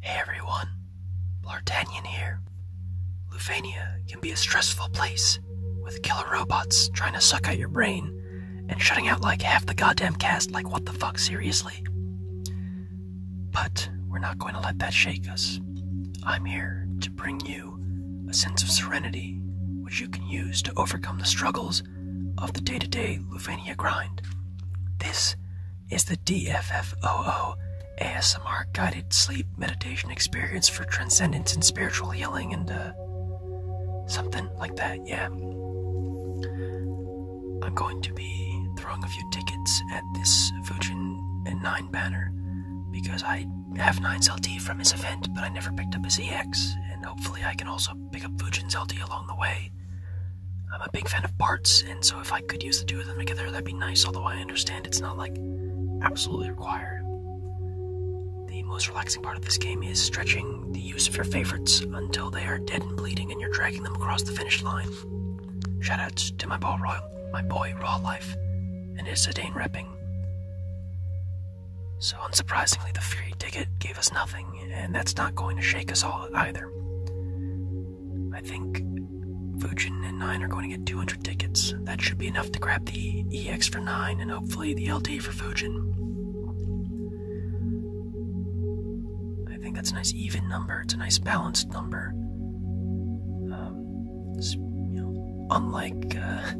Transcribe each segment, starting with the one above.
Hey everyone, Blartanian here. Lufania can be a stressful place, with killer robots trying to suck out your brain and shutting out like half the goddamn cast, like what the fuck, seriously? But we're not going to let that shake us. I'm here to bring you a sense of serenity which you can use to overcome the struggles of the day to day Luvania grind. This is the DFFOO ASMR guided sleep meditation experience for transcendence and spiritual healing and uh, something like that, yeah. I'm going to be throwing a few tickets at this Fujin and 9 banner because I have 9's LT from his event, but I never picked up his EX, and hopefully I can also pick up Fujin's LD along the way. I'm a big fan of parts, and so if I could use the two of them together, that'd be nice, although I understand it's not like absolutely required. The most relaxing part of this game is stretching the use of your favorites until they are dead and bleeding and you're dragging them across the finish line. Shoutouts to my boy royal, my boy Raw Life, and his sedane repping. So, unsurprisingly, the ferry ticket gave us nothing, and that's not going to shake us all either. I think Fujin and 9 are going to get 200 tickets. That should be enough to grab the EX for 9 and hopefully the LD for Fujin. I think that's a nice even number, it's a nice balanced number. Um, unlike uh,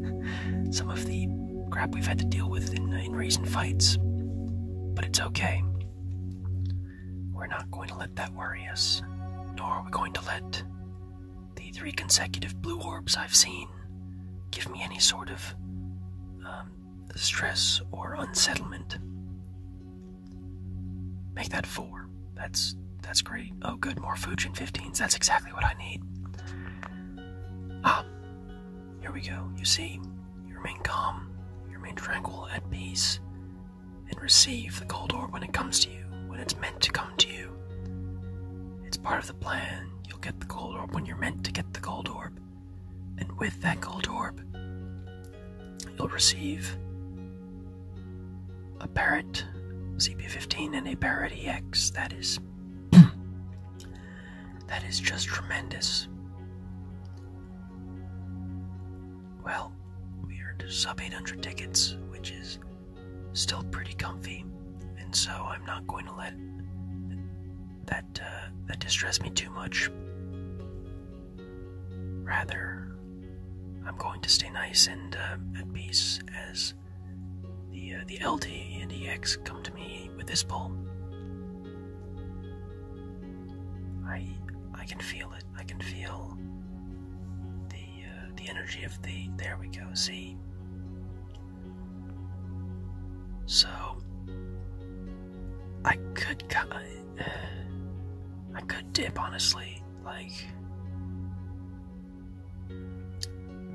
some of the crap we've had to deal with in, recent fights. But it's okay. We're not going to let that worry us, nor are we going to let the three consecutive blue orbs I've seen give me any sort of um, stress or unsettlement. Make that four. That's that's great. Oh, good, more Fujin 15s. That's exactly what I need. Ah, here we go. You see, you remain calm, you remain tranquil, at peace, and receive the gold orb when it comes to you, when it's meant to come to you. It's part of the plan. You'll get the gold orb when you're meant to get the gold orb. And with that gold orb, you'll receive a Parrot CP15 and a Parrot EX. That is that is just tremendous. Well, we are to sub 800 tickets, which is still pretty comfy, and so I'm not going to let that uh, that distress me too much. Rather, I'm going to stay nice and uh, at peace as the uh, the LT and EX come to me with this pull. I I can feel it. I can feel the uh, the energy of the. There we go. See. So I could I could dip honestly. Like,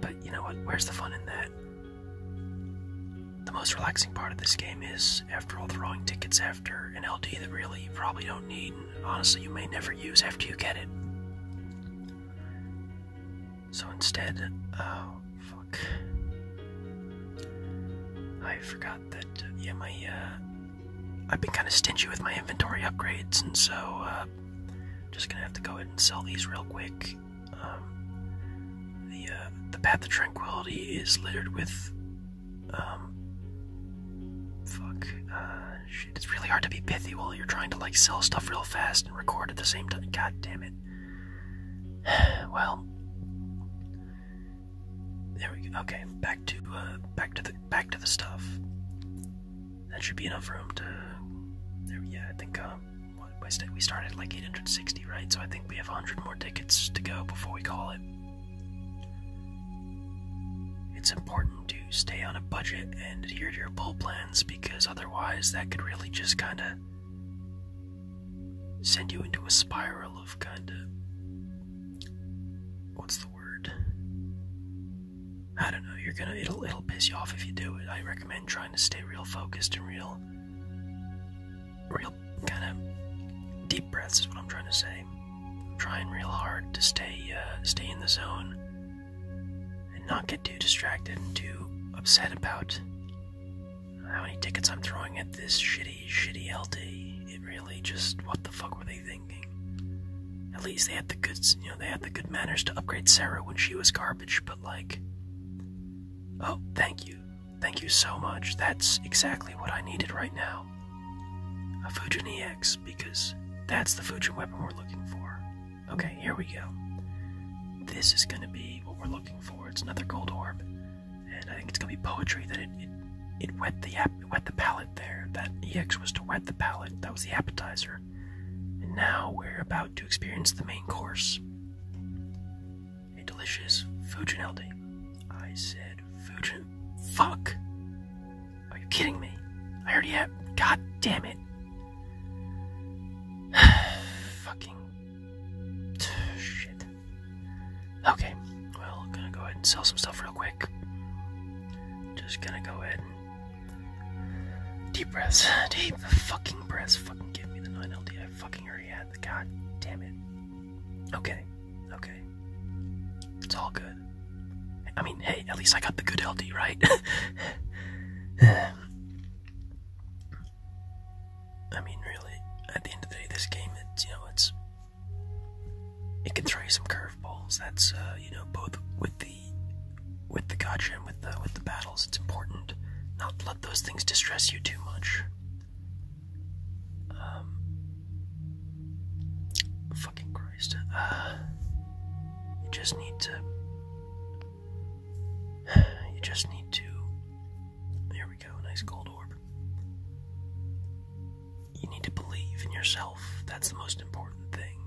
but you know what? Where's the fun in that? The most relaxing part of this game is, after all, throwing tickets after an LD that really you probably don't need, honestly, you may never use after you get it. So instead, oh, fuck. I forgot that, yeah, my, uh, I've been kind of stingy with my inventory upgrades, and so I'm uh, just gonna have to go ahead and sell these real quick. Um, the uh, the path of tranquility is littered with. Um, fuck. Uh, shit, it's really hard to be pithy while you're trying to like sell stuff real fast and record at the same time. God damn it. well, there we go. Okay, back to uh, back to the back to the stuff. That should be enough room to. There, yeah, I think um, we started like 860, right? So I think we have 100 more tickets to go before we call it. It's important to stay on a budget and adhere to your pull plans because otherwise that could really just kind of send you into a spiral of kind of what's the word? I don't know. You're gonna it'll it'll piss you off if you do it. I recommend trying to stay real focused and real, real kind of deep breaths is what I'm trying to say. I'm trying real hard to stay uh, stay in the zone and not get too distracted and too upset about how many tickets I'm throwing at this shitty, shitty LD. It really just, what the fuck were they thinking? At least they had the good, you know, they had the good manners to upgrade Sarah when she was garbage, but like, oh, thank you. Thank you so much. That's exactly what I needed right now. A Fujin EX, because that's the Fujin weapon we're looking for. Okay, here we go. This is gonna be what we're looking for. It's another gold orb and I think it's gonna be poetry that it it, wet the ap wet the palate there. That ex was to wet the palate. That was the appetizer, and now we're about to experience the main course. A delicious Fujineldi. I said Fujin. Fuck! Are you kidding me? I already have. God damn it! Fucking shit. Okay, well, gonna go ahead and sell some stuff real quick. Just gonna go ahead Deep breaths. Deep fucking breaths. Fucking give me the 9LD. I fucking already had the. God damn it. Okay, okay. It's all good. I mean, hey, at least I got the good LD, right? I mean, really, at the end of the day, this game, it's, you know, it's, it can throw you some curveballs. That's, uh, you know, both with the, with the gotcha with the, with the battles, it's important not to let those things distress you too much. Um, fucking Christ. Uh, you just need to you just need to. There we go, nice gold orb. You need to believe in yourself. That's the most important thing.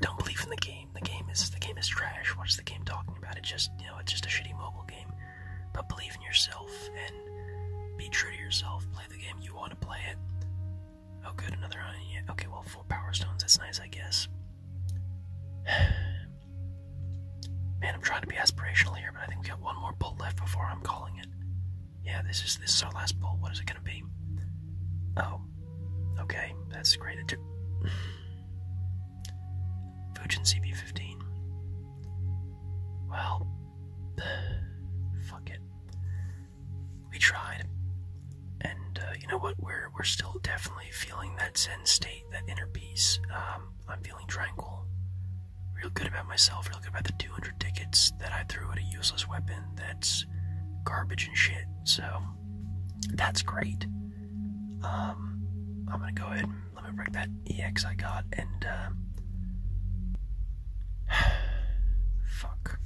Don't believe in the game. The game is the game is trash. What's the game talking about? It just you know it's just a shitty mobile game. But believe in yourself and be true to yourself. Play the game you want to play it. Oh, good, another iron. Uh, yeah. Okay, well, four power stones. That's nice, I guess. Man, I'm trying to be aspirational here, but I think we got one more bolt left before I'm calling it. Yeah, this is this our last bolt. What is it gonna be? Oh, okay, that's great. It took CB15. Well, fuck it. We tried and uh, you know what we're we're still definitely feeling that zen state that inner peace um, i'm feeling tranquil real good about myself real good about the 200 tickets that i threw at a useless weapon that's garbage and shit so that's great um, i'm gonna go ahead and let me break that ex i got and uh, fuck